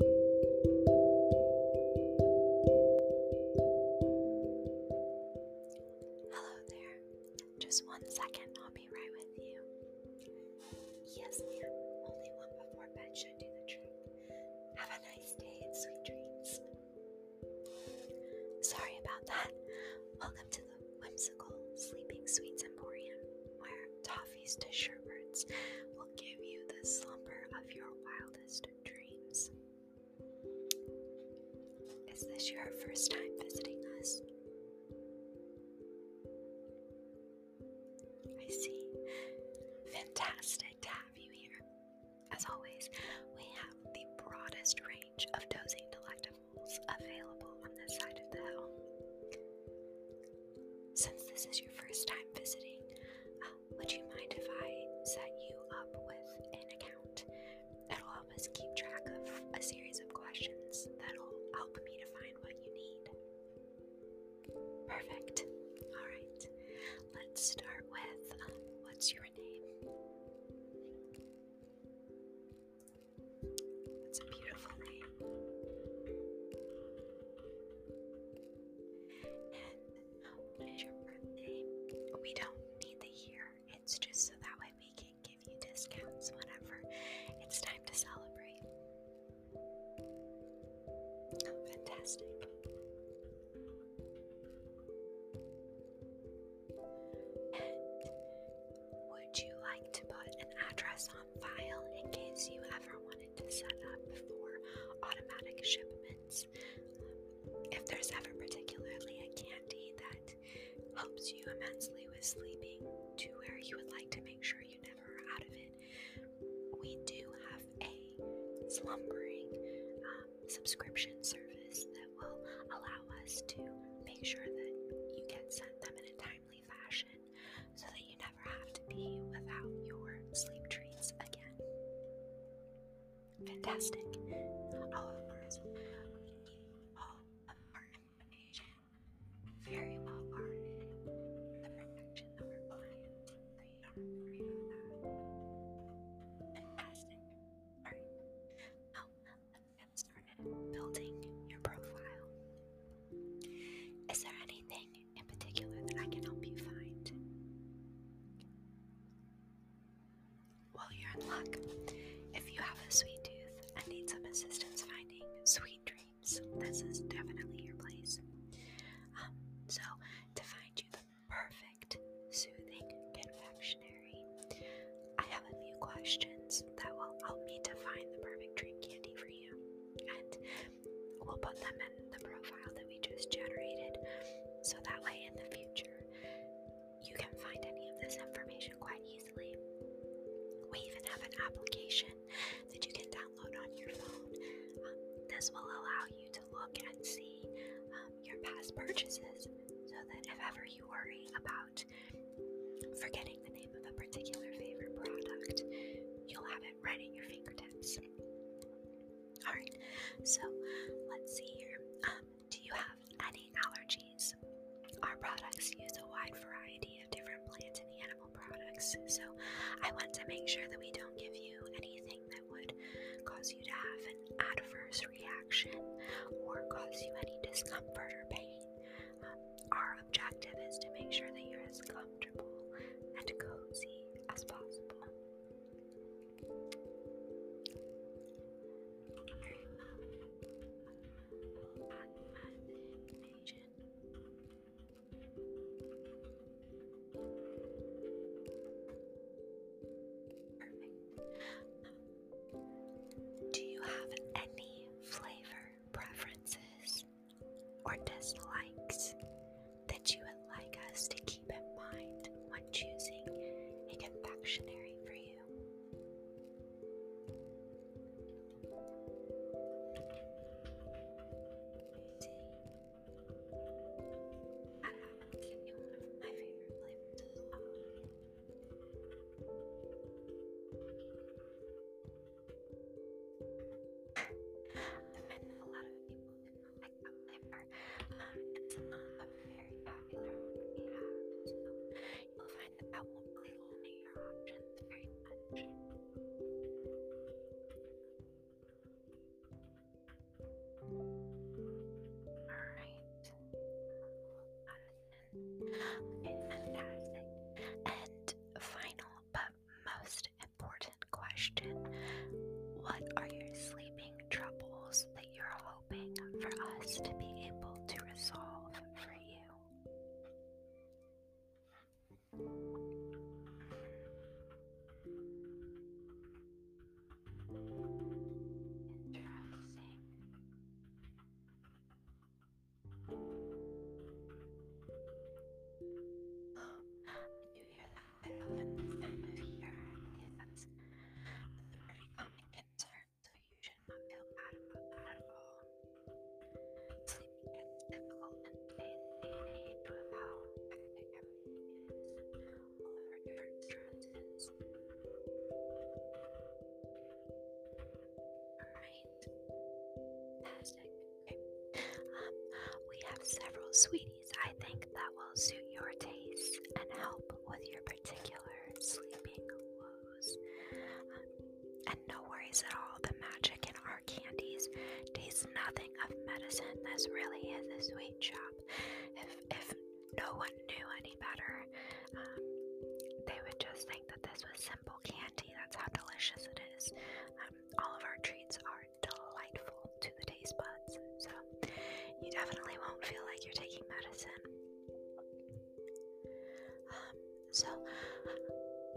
Hello there. Just one second, I'll be right with you. Yes, ma'am. Only one before bed should do the trick. Have a nice day and sweet dreams. Sorry about that. Welcome to the whimsical Sleeping Sweets Emporium, where toffee coffees to will give you the slumber of your wildest dreams. Is this your first time visiting us? I see. Fantastic to have you here. As always, we have the broadest range of dozing delectables available on this side of the hill. Since this is your first time visiting, would you mind if I set you up with an account? It'll help us keep track of a series of questions that'll help me to find what you need. Perfect. All right. Let's start with um, what's your name? It's a beautiful name when is your birthday? We don't need the year, it's just so that way we can give you discounts whenever it's time to celebrate. Oh, fantastic. would you like to put an address on file in case you ever want to set up for automatic shipments. Um, if there's ever particularly a candy that helps you immensely with sleeping to where you would like to make sure you never are out of it, we do have a slumbering um, subscription service that will allow us to make sure that you get sent them in a timely fashion so that you ever have to be without your sleep treats again. Fantastic. All of course, all of our information very well guarded. The protection of our clients, Fantastic. Alright. Now, let's get started building your profile. Is there anything in particular that I can help you find. Well, you're in luck. If you have a sweet tooth and need some assistance finding sweet dreams, this is definitely your place. Um, so, to find you the perfect soothing confectionery, I have a few questions that will help me to find the perfect dream candy for you we'll put them in the profile that we just generated so that way in the future you can find any of this information quite easily. We even have an application that you can download on your phone. Um, this will allow you to look and see um, your past purchases so that if ever you worry about forgetting the name of a particular favorite product, you'll have it right at your fingertips. Alright, so let's see here. Um, do you have any allergies? Our products use a wide variety of different plant and animal products, so I want to make sure that we don't give you anything that would cause you to have an adverse reaction or cause you any discomfort or pain. Um, our objective is to make sure that you're as comfortable and cozy as possible. Do you have any flavor preferences? or dislikes that you would like us to keep in mind when choosing a confectionery for you. my favorite flavors um, as like um, a very popular you'll find that that will really your options very much. Alright. fantastic. And final but most important question What are your sleeping troubles that you're hoping for us to be able to resolve for you? Interesting. I know that the theme of here is overcoming so you should not feel bad about that at all. Sleeping is difficult and age with how hectic everything is, all of our Alright. Fantastic. Um, we have several sweeties I think that will suit your taste and help with your particular sleeping woes. Um, and no worries at all, the magic in our candies tastes nothing of medicine. This really is a sweet shop. If, if no one knew any better, um, they would just think that this was simple candy. That's how delicious it is. all of our treats are delightful to the taste buds, so you definitely won't feel like you're taking medicine. Um, so,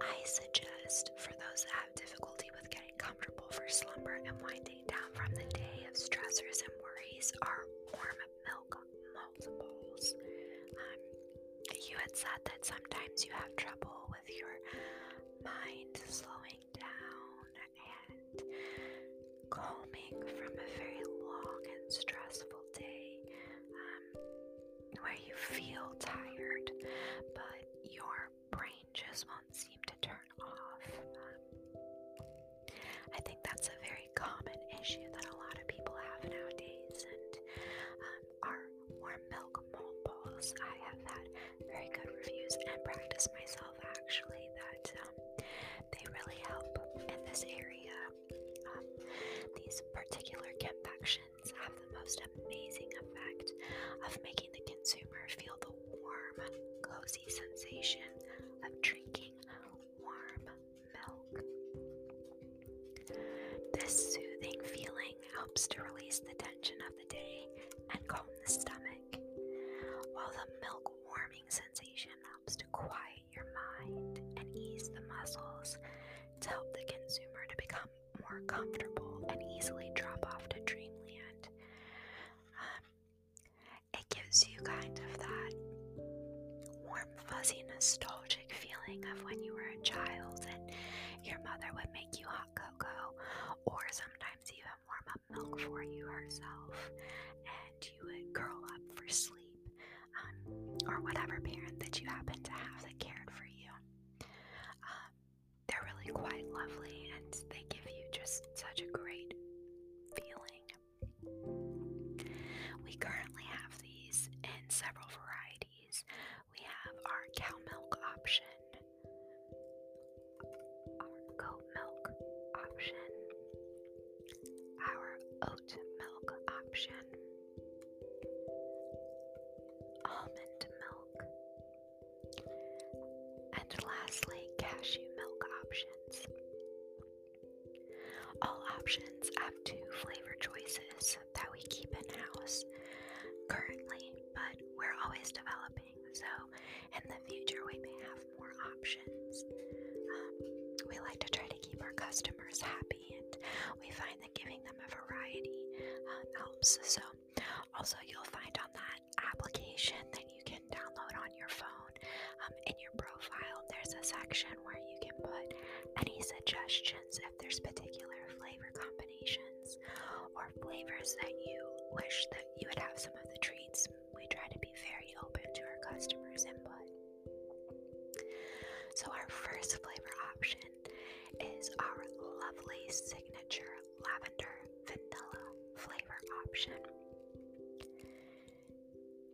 I suggest for those that have difficulty with getting comfortable for slumber and winding down from the day of stressors and worries are warm milk multiples. Um, you had said that sometimes you have trouble with your mind slowing down and calming from a very long and stressful day um, where you feel tired, but your brain just won't seem to turn off. Um, I think that's a very common issue that a lot of people have nowadays and um, are more milk mole bowls. I have had very good reviews and practiced myself actually that um, they really help in this area. Um, these particular confections have the most amazing effect of making the consumer feel the warm, cozy sensation of drinking warm milk. This soothing feeling Breathing helps to release the tension of the day and calm the stomach, while the milk warming sensation helps to quiet your mind and ease the muscles to help the consumer to become more comfortable and easily drop off to dreamland. Um, it gives you kind of that warm, fuzzy, nostalgic feeling of when you were a child and your mother would make you hot cocoa, or sometimes sometimes even warm up milk for you herself, and you would curl up for sleep, um, or whatever parent that you happen to have that cared for you. Um, they're really quite lovely, and they give you just such a great feeling. We currently have these in several varieties. We have our cow milk option, our goat milk option, our oat milk option, almond milk, and lastly, cashew milk options. All options have two flavor choices that we keep in house currently, but we're always developing so, in the future, we may have more options. Um, we like to try to keep our customers happy, and we find that giving them a variety um, helps. So, also, you'll find on that application that you can download on your phone um, in your profile, there's a section where you can put any suggestions if there's particular flavor combinations or flavors that you wish that you would have some of the treats. We try to be very open to our customers' input. So, our first flavor option is our lovely signature lavender vanilla flavor option.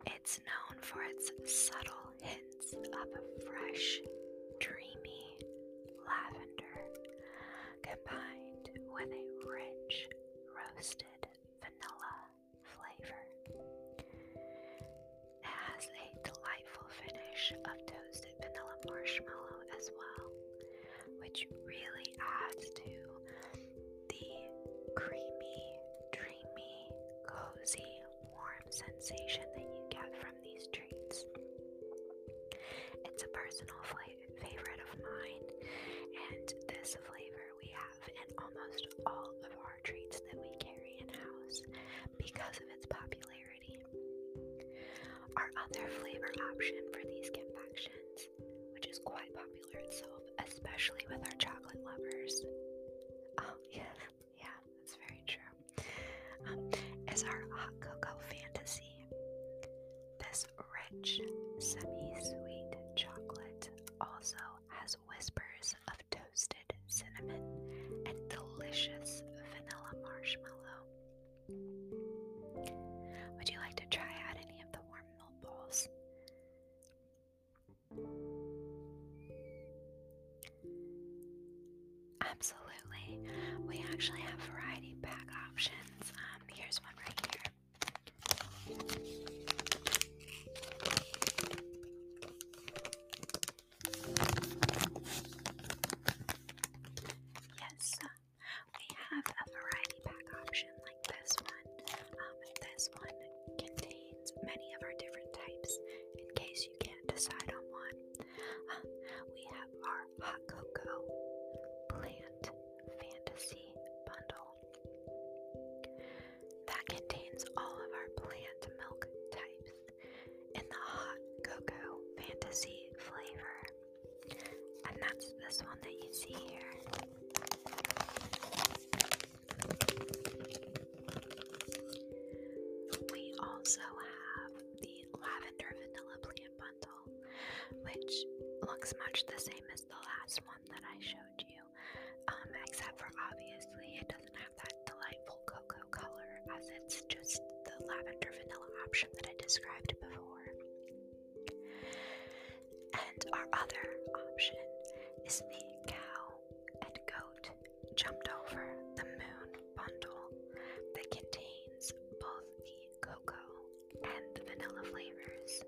It's known for its subtle hints of fresh, dreamy lavender combined with a rich roasted vanilla flavor. It has a delightful finish of toasted vanilla marshmallow as well, which really adds to the creamy, dreamy, cozy, warm sensation that you get from these treats. It's a personal flavor favorite of mine. And this flavor we have in almost all of our treats that we carry in house because of its popularity. Our other flavor option for these confections, which is quite popular itself, especially with our chocolate lovers. Oh, yeah, yeah, that's very true. Um, is our hot cocoa fantasy. This rich, semi-sweet chocolate also has whispers of toasted cinnamon and delicious vanilla marshmallow. Would you like to try out any of the warm milk balls? Absolutely. We actually have variety pack options. Um, here's one right here. Yes, we have a variety pack option like this one. Um, this one contains many of our different types in case you can't decide on one. Um, we have our hot cocoa plant fantasy bundle that contains all of our plant milk types in the hot cocoa fantasy flavor. And that's this one that you see here. We also have the lavender vanilla plant bundle which looks much the same as the last one that I showed you, um, except for obviously it doesn't have that delightful cocoa color as it's just the lavender vanilla option that I described before. And our other option is the cow and goat jumped over the moon bundle that contains both the cocoa and the vanilla flavors.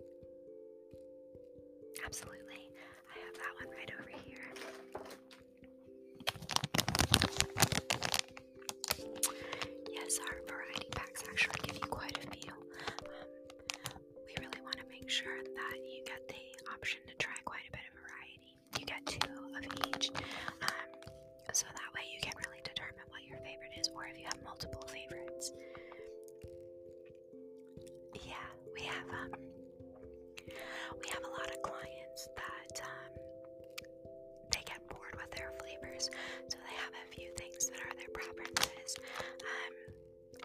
Absolutely. I have that one right over here. Yes, our variety packs actually give you quite a few. Um, we really want to make sure that you get the option to try quite a bit of variety. You get two of each. Um, so that way you can really determine what your favorite is, or if you have multiple favorites. Yeah, we have um, we have a lot of clients that um, they get bored with their flavors, so they have a few things that are their preferences. Um,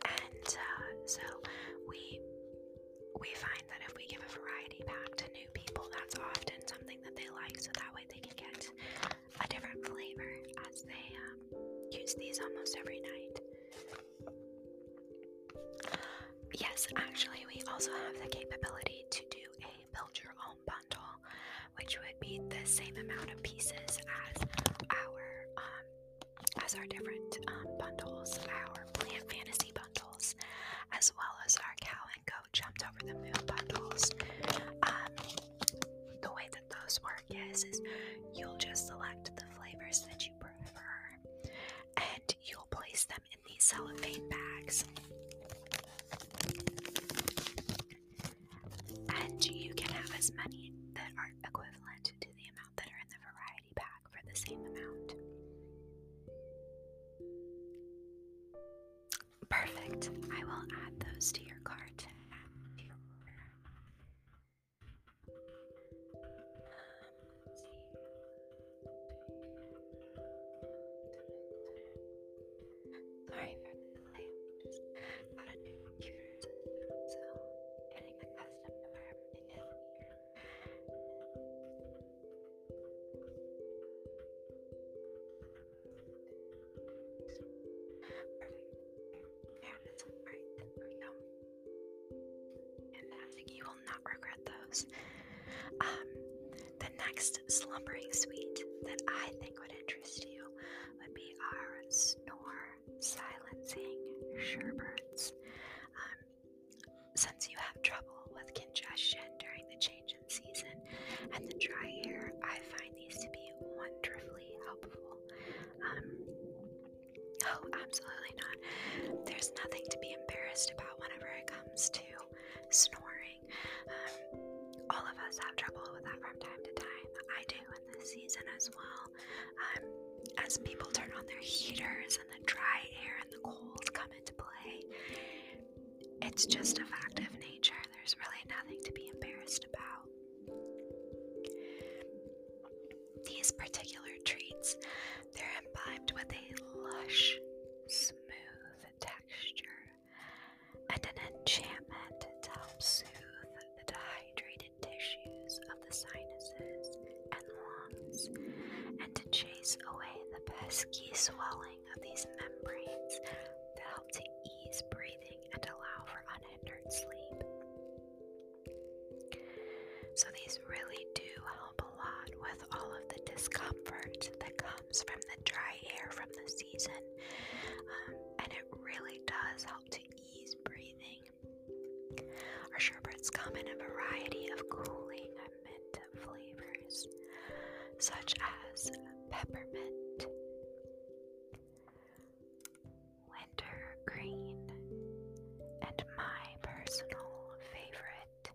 and uh, so we we find that if we give a variety pack to new people, that's often something that they like, so that way they can get a different flavor as they um, use these almost every night. Yes, actually, we also have the capability to do a build your own bundle, which would be the same amount of pieces as our um, as our different um, bundles, our plant fantasy bundles, as well as our cow Blanco jumped over the moon bundles. the way that those work is you'll just select the flavors that you prefer, and you'll place them in these cellophane bags. And you can have as many that are equivalent to the amount that are in the variety pack for the same amount. Perfect. I will add those to your cart. Sorry for the delay. Just got a new computer so getting accustomed to everything here. Fantastic. You will not regret those. Um, the next slumbering suite that I think would interest you would be our snore silencing sherberts, um, since you have trouble with congestion during the change season, and the dry air, I find these to be wonderfully helpful. Um, oh, absolutely not. There's nothing to be embarrassed about whenever it comes to snoring. Um, all of us have trouble with that from time to time. I do in the season as well. Um, as people turn on their heaters and the dry air and the cold come into play, it's just a fact of nature. There's really nothing to be embarrassed about. These particular treats, they're imbibed with a lush, smooth texture and an enchantment to help soothe the dehydrated tissues of the sinuses and lungs and to chase away the pesky swelling of these membranes that help to ease breathing and allow for unhindered sleep. So, these really do help a lot with all of the discomfort that comes from the dry air from the season. Um, and it really does help to ease breathing. Our sherbets come in a variety of cooling mint flavors, such as peppermint, winter green, and my personal favorite,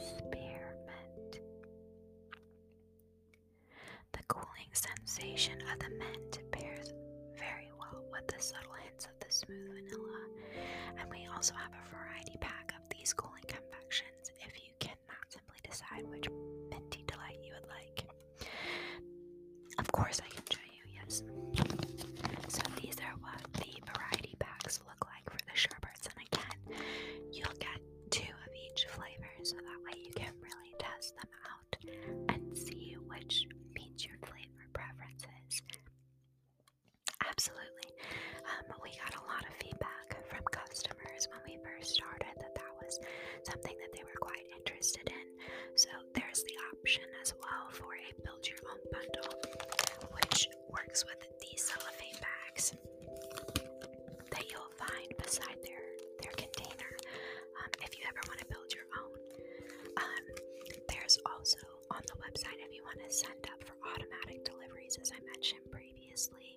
spearmint. The cooling sensation of the mint pairs very well with the subtle hints of the smooth vanilla, and we also have a variety pack of these cooling confections if you you cannot simply decide which minty delight you would like. Of course, I can show you, yes. So, these are what the variety packs look like for the sherbets, and again, you'll get two of each flavor so that way you can really test them out and see which meets your flavor preferences. Absolutely. Um, we got a lot of feedback from customers when we first started that that was something that they were quite interested in. So there's the option as well for a build your own bundle, which works with these cellophane bags that you'll find beside their their container. Um, if you ever want to build your own, um, there's also on the website if you want to sign up for automatic deliveries, as I mentioned previously.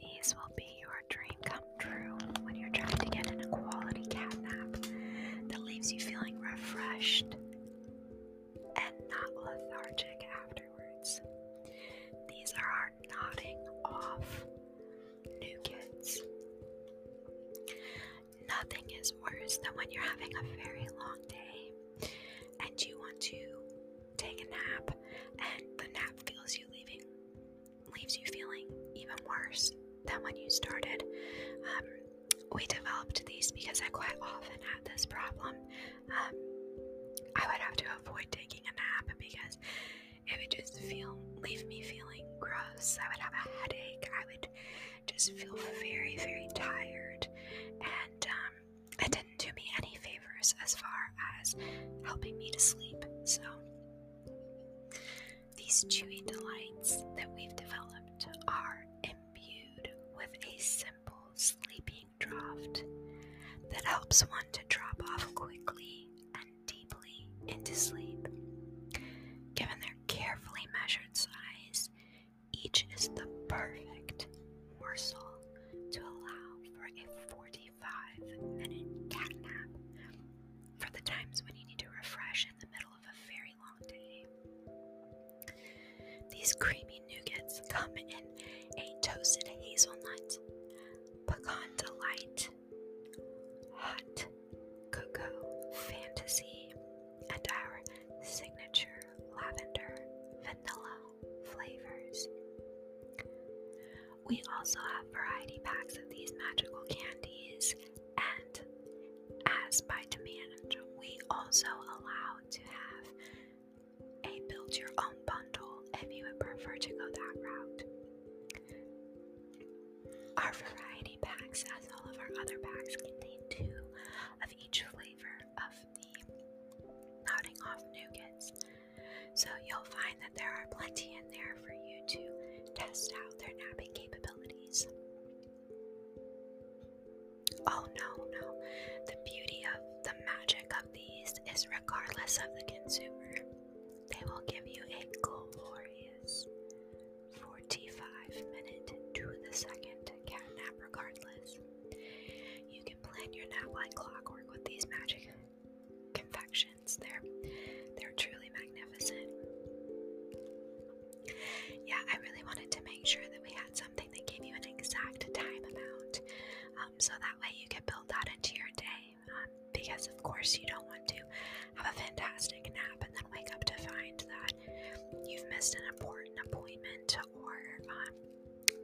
These will be your dream come true when you're trying to get a quality cat nap that leaves you feeling refreshed and not lethargic afterwards. These are our nodding off new Nothing is worse than when you're having a very long day and you want to take a nap and the nap feels you leaving leaves you feeling even worse than when you started. Um, we developed these because I quite often had this problem. Um, I would have to avoid taking a nap because it would just feel leave me feeling gross. I would have a headache. I would just feel very, very tired. And um, it didn't do me any favors as far as helping me to sleep. So, these chewy delights that we've developed are imbued with a simple sleeping draught that helps one to drop off quickly and deeply into sleep. Given their carefully measured size, each is the perfect morsel to allow for a 45 minute cat nap for the times when you need to refresh in the middle of a very long day. These creamy nougats come in a toasted hazelnut, pecan delight, hot cocoa fantasy, and our signature lavender vanilla flavors. We also have variety packs of these magical candies, and as by demand, we also allow to have a build your own bundle if you would prefer to go that route. Our variety packs, as all of our other packs, contain two each flavor of the nodding off nougats. So you'll find that there are plenty in there for you to test out their napping capabilities. Oh no, no. The beauty of the magic of these is regardless of the consumer, they will give you a glorious 45 minute to the second cat nap regardless. You can plan your nap like clockwork with these magic confections. They're they're truly magnificent. Yeah, I really wanted to make sure that we had something that gave you an exact time amount, um, so that way you could build that into your day. Um, because of course you don't want to have a fantastic nap and then wake up to find that you've missed an important appointment or um,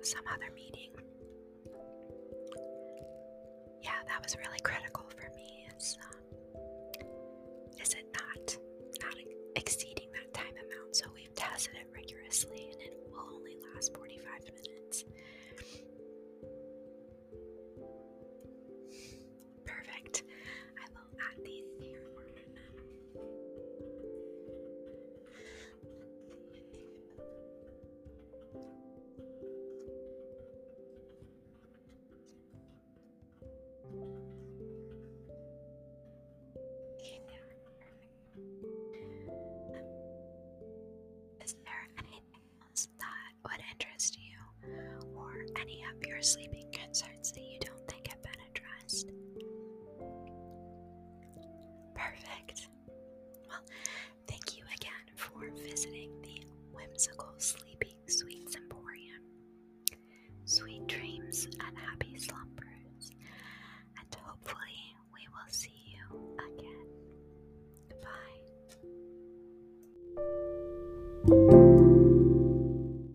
some other meeting. Yeah, that was really critical for me. Is um, is it not not exceeding that time amount? So we tested it rigorously, and it will only last forty five minutes. Perfect. I will add these here there anything else that would interest you, or any of your sleeping concerns that you don't think have been addressed? Perfect. Well, thank you again for visiting the whimsical Sleeping sweet Emporium. Sweet dreams and happy slumbers, and hopefully, we will see you again. Goodbye.